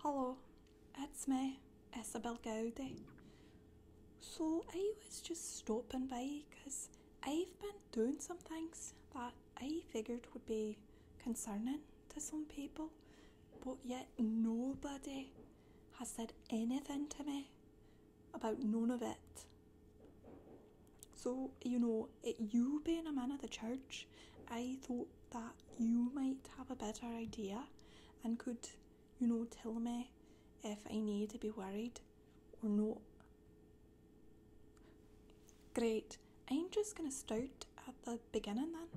Hello, it's me, Isabel Gowdy. So I was just stopping by because I've been doing some things that I figured would be concerning to some people, but yet nobody has said anything to me about none of it. So, you know, you being a man of the church, I thought that you might have a better idea and could, you know, tell me if I need to be worried or not. Great. I'm just gonna start at the beginning then.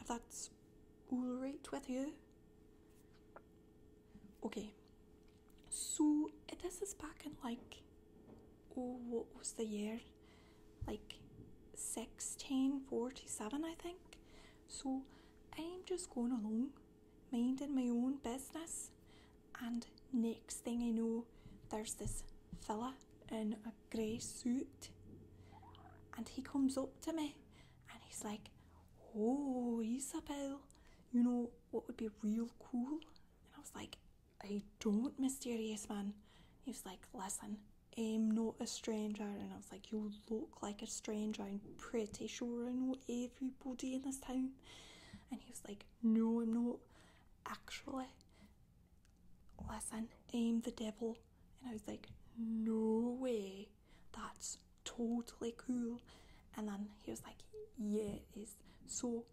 If that's alright with you. Okay, so this is back in like, oh, what was the year? Like 1647, I think. So I'm just going along, minding my own business, and next thing I know, there's this fella in a grey suit, and he comes up to me and he's like, Oh, Isabel, you know, what would be real cool? And I was like, I don't, mysterious man. He was like, listen, I'm not a stranger. And I was like, you look like a stranger. I'm pretty sure I know everybody in this town. And he was like, no, I'm not. Actually, listen, I'm the devil. And I was like, no way. That's totally cool. And then he was like, yeah, it is. So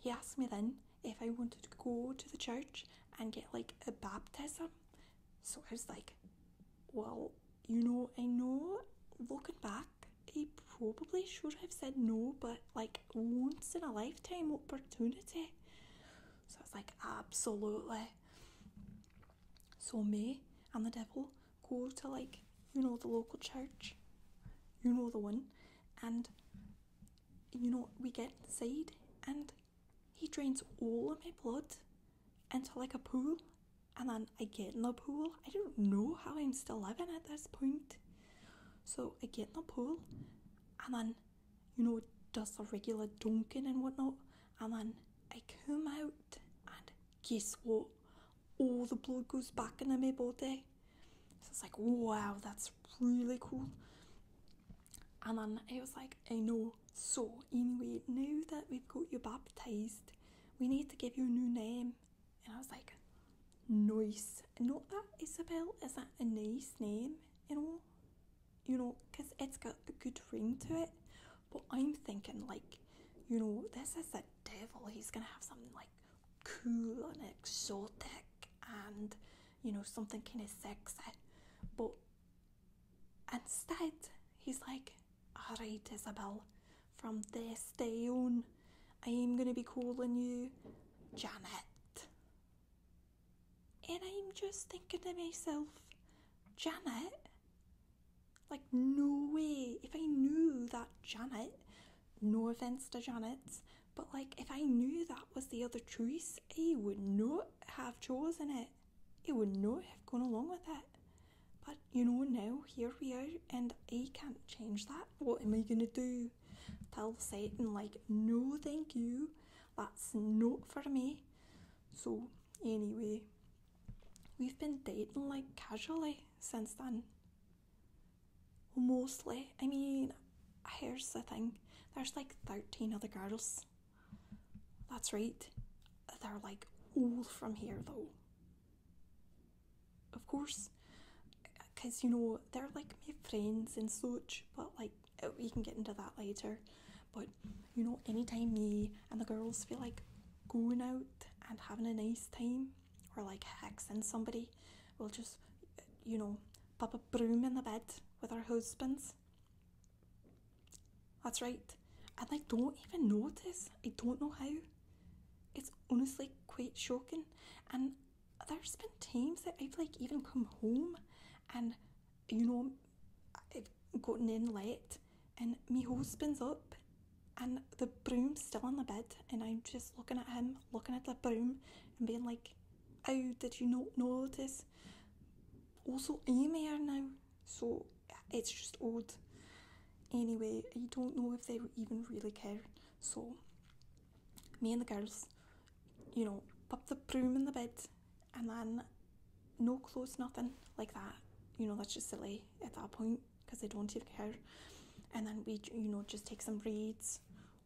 he asked me then if I wanted to go to the church and get like a baptism. So I was like, well, you know, I know looking back, I probably should have said no, but like once in a lifetime opportunity. So I was like, absolutely. So me and the devil go to like you know the local church, you know the one, and you know we get inside and he drains all of my blood into like a pool, and then I get in the pool. I don't know how I'm still living at this point. So I get in the pool, and then you know does a regular dunking and whatnot, and then I come out and guess what? All the blood goes back into my body. So it's like, wow, that's really cool. And then I was like, I know. So, anyway, now that we've got you baptised, we need to give you a new name. And I was like, nice. Not that Isabel is that a nice name, you know? You know, because it's got a good ring to it. But I'm thinking, like, you know, this is the devil. He's going to have something like cool and exotic and, you know, something kind of sexy. But instead, he's like, all right, Isabel, from this day on, I'm going to be calling you Janet. And I'm just thinking to myself, Janet, like, no way. If I knew that Janet, no offense to Janet, but like, if I knew that was the other choice, I would not have chosen it. I would not have gone along with it. But you know, now here we are, and I can't change that. What am I gonna do? Tell Satan, like, no, thank you, that's not for me. So, anyway, We've been dating like casually since then. Mostly. I mean, here's the thing there's like 13 other girls. That's right. They're like all from here though. Of course. Because, you know, they're like my friends and such, but like, we can get into that later. But you know, anytime me and the girls feel like going out and having a nice time or like hexing somebody, we'll just, you know, pop a broom in the bed with our husbands. That's right. And they don't even notice. I don't know how. It's honestly quite shocking. And there's been times that I've like even come home and you know, I've gotten in late and my hose up and the broom's still in the bed and I'm just looking at him, looking at the broom and being like, How did you not notice? Also email now, so it's just odd. Anyway, I don't know if they even really care. So me and the girls, you know, pop the broom in the bed and then no clothes, nothing like that. You know, that's just silly at that point because they don't even care. And then we, you know, just take some reeds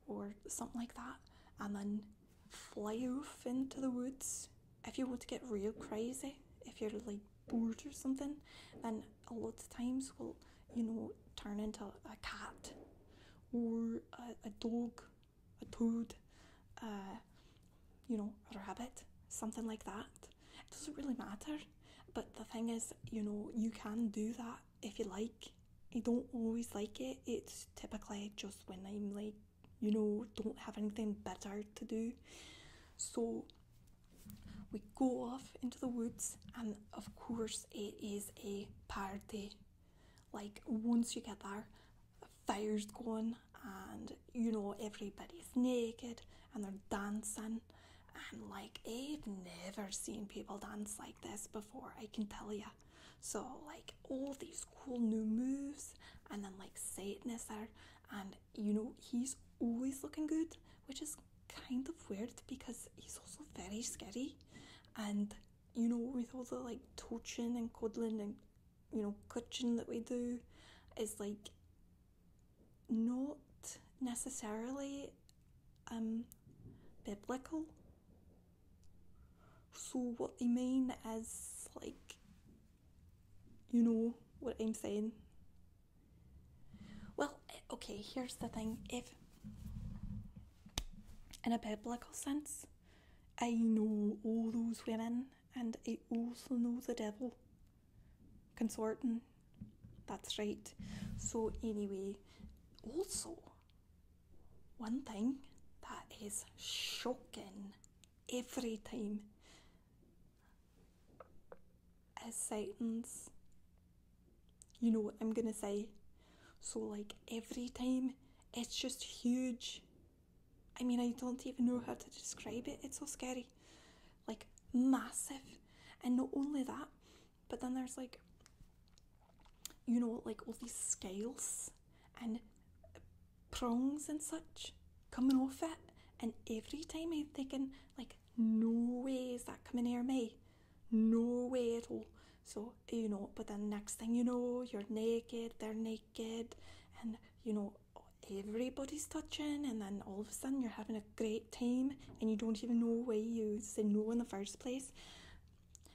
or something like that and then fly off into the woods. If you want to get real crazy, if you're like bored or something, then a lot of times we will, you know, turn into a cat or a dog a toad, uh, you know, a rabbit, something like that. It doesn't really matter. But the thing is, you know, you can do that if you like. I don't always like it. It's typically just when I'm like, you know, don't have anything better to do. So we go off into the woods, and of course, it is a party. Like, once you get there, fires going and you know everybody's naked and they're dancing and like I've never seen people dance like this before I can tell you so like all these cool new moves and then like Satanist there and you know he's always looking good which is kind of weird because he's also very scary and you know with all the like torching and cuddling and you know, coaching that we do is like not necessarily um, biblical. So, what they mean as like, you know what I'm saying? Well, eh, okay, here's the thing. If in a biblical sense, I know all those women and I also know the devil. Consorting. That's right. So, anyway, also, one thing that is shocking every time is Satan's. You know what I'm gonna say? So, like, every time it's just huge. I mean, I don't even know how to describe it. It's so scary. Like, massive. And not only that, but then there's like, you know, like all these scales and prongs and such coming off it. And every time I'm thinking, like, no way is that coming near me. No way at all. So, you know, but then next thing you know, you're naked, they're naked, and you know, everybody's touching, and then all of a sudden you're having a great time, and you don't even know why you said no in the first place.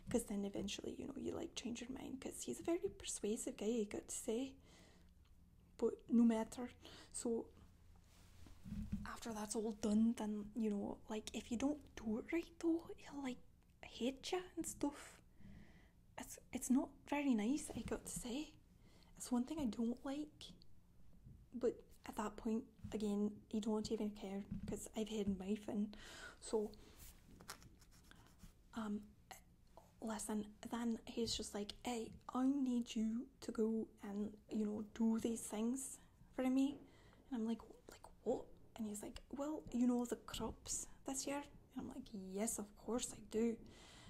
Because then eventually, you know, you like change your mind, because he's a very persuasive guy, I got to say. But no matter. So, after that's all done, then, you know, like if you don't do it right though, he'll like hate you and stuff. It's it's not very nice. I got to say, it's one thing I don't like. But at that point, again, you don't even care because I've had my fun. So, um, listen. Then he's just like, "Hey, I need you to go and you know do these things." for me. And I'm like, like what? And he's like, well, you know the crops this year? And I'm like, yes, of course I do.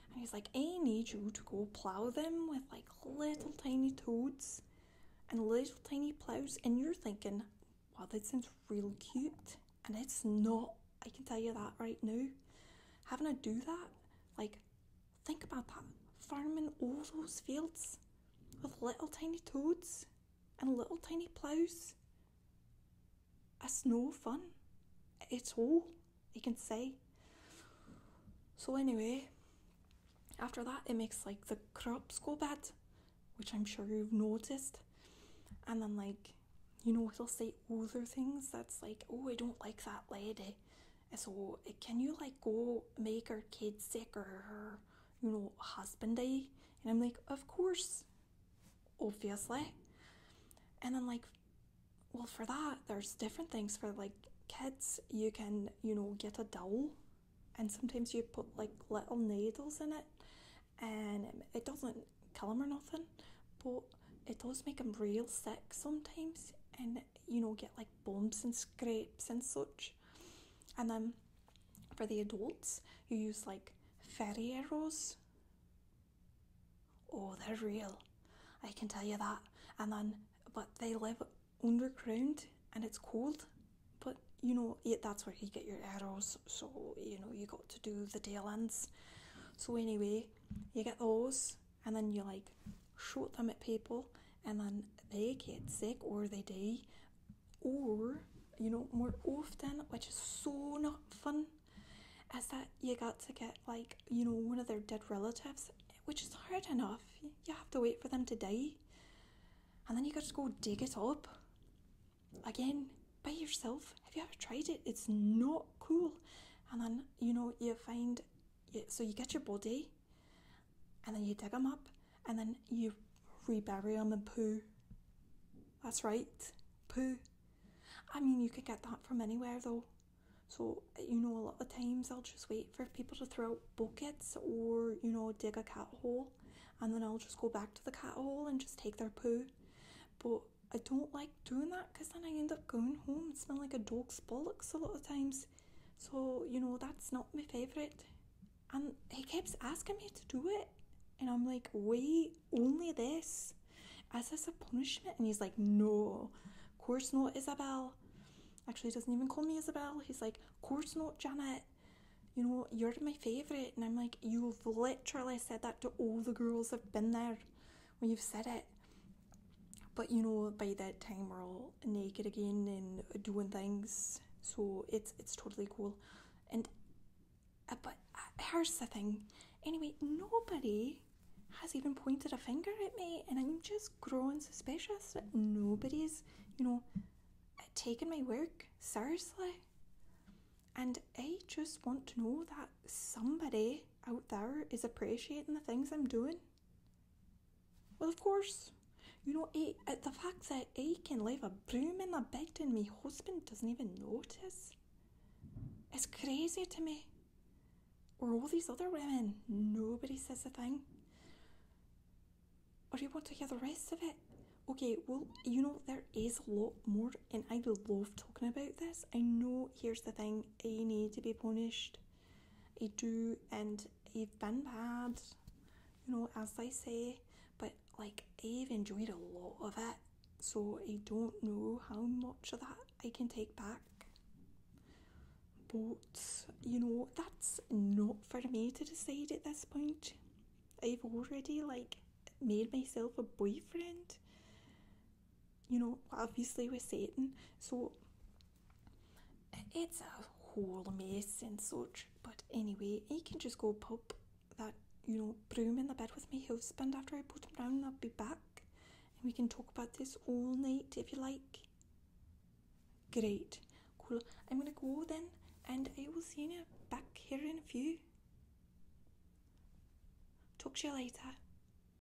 And he's like, I need you to go plow them with like little tiny toads and little tiny plows. And you're thinking, wow, that sounds really cute. And it's not, I can tell you that right now. Having to do that, like, think about that. Farming all those fields with little tiny toads and little tiny ploughs. It's no fun. It's all you can say. So anyway, after that it makes like the crops go bad, which I'm sure you've noticed. And then like, you know, it'll say other things that's like, oh, I don't like that lady. So can you like go make her kid sick or her you know, husbandy? And I'm like, of course, obviously. And then like, well, for that, there's different things for like kids. You can, you know, get a doll, and sometimes you put like little needles in it, and it doesn't kill them or nothing, but it does make them real sick sometimes, and you know, get like bumps and scrapes and such. And then for the adults, you use like fairy arrows. Oh, they're real. I can tell you that. And then, but they live underground and it's cold. But you know, yeah, that's where you get your arrows. So you know, you got to do the tail ends. So anyway, you get those, and then you like shoot them at people and then they get sick or they die or you know more often which is so not fun is that you got to get like you know one of their dead relatives which is hard enough you have to wait for them to die and then you got to go dig it up again by yourself have you ever tried it it's not cool and then you know you find so you get your body and then you dig them up and then you rebury them in poo. That's right, poo. I mean, you could get that from anywhere though. So, you know, a lot of times I'll just wait for people to throw out buckets or, you know, dig a cat hole and then I'll just go back to the cat hole and just take their poo. But I don't like doing that because then I end up going home and smell like a dog's bollocks a lot of times. So, you know, that's not my favourite. And he keeps asking me to do it. And I'm like, wait, only this? Is this a punishment? And he's like, no, course not, Isabel. Actually, doesn't even call me Isabel. He's like, course not, Janet. You know, you're my favourite. And I'm like, you've literally said that to all the girls i have been there when you've said it but you know by that time we're all naked again and doing things so it's it's totally cool and uh, but uh, here's the thing anyway nobody has even pointed a finger at me and i'm just growing suspicious that nobody's you know taking my work seriously and i just want to know that somebody out there is appreciating the things i'm doing well, of course. You know, A, eh, uh, the fact that A can leave a broom in the bed and my husband doesn't even notice is crazy to me. Or all these other women, nobody says a thing. Or you want to hear the rest of it? Okay, well, you know, there is a lot more, and I love talking about this. I know, here's the thing I need to be punished a do and a fun pad, you know, as they say. But like, I've enjoyed a lot of it, so I don't know how much of that I can take back. But you know, that's not for me to decide at this point. I've already like made myself a boyfriend you know, obviously with Satan. So it's a whole mess and such. But anyway, he can just go pop that, you know, broom in the bed with my husband after I put him down. I'll be back and we can talk about this all night if you like. Great. Cool. I'm going to go then and I will see you back here in a few. Talk to you later.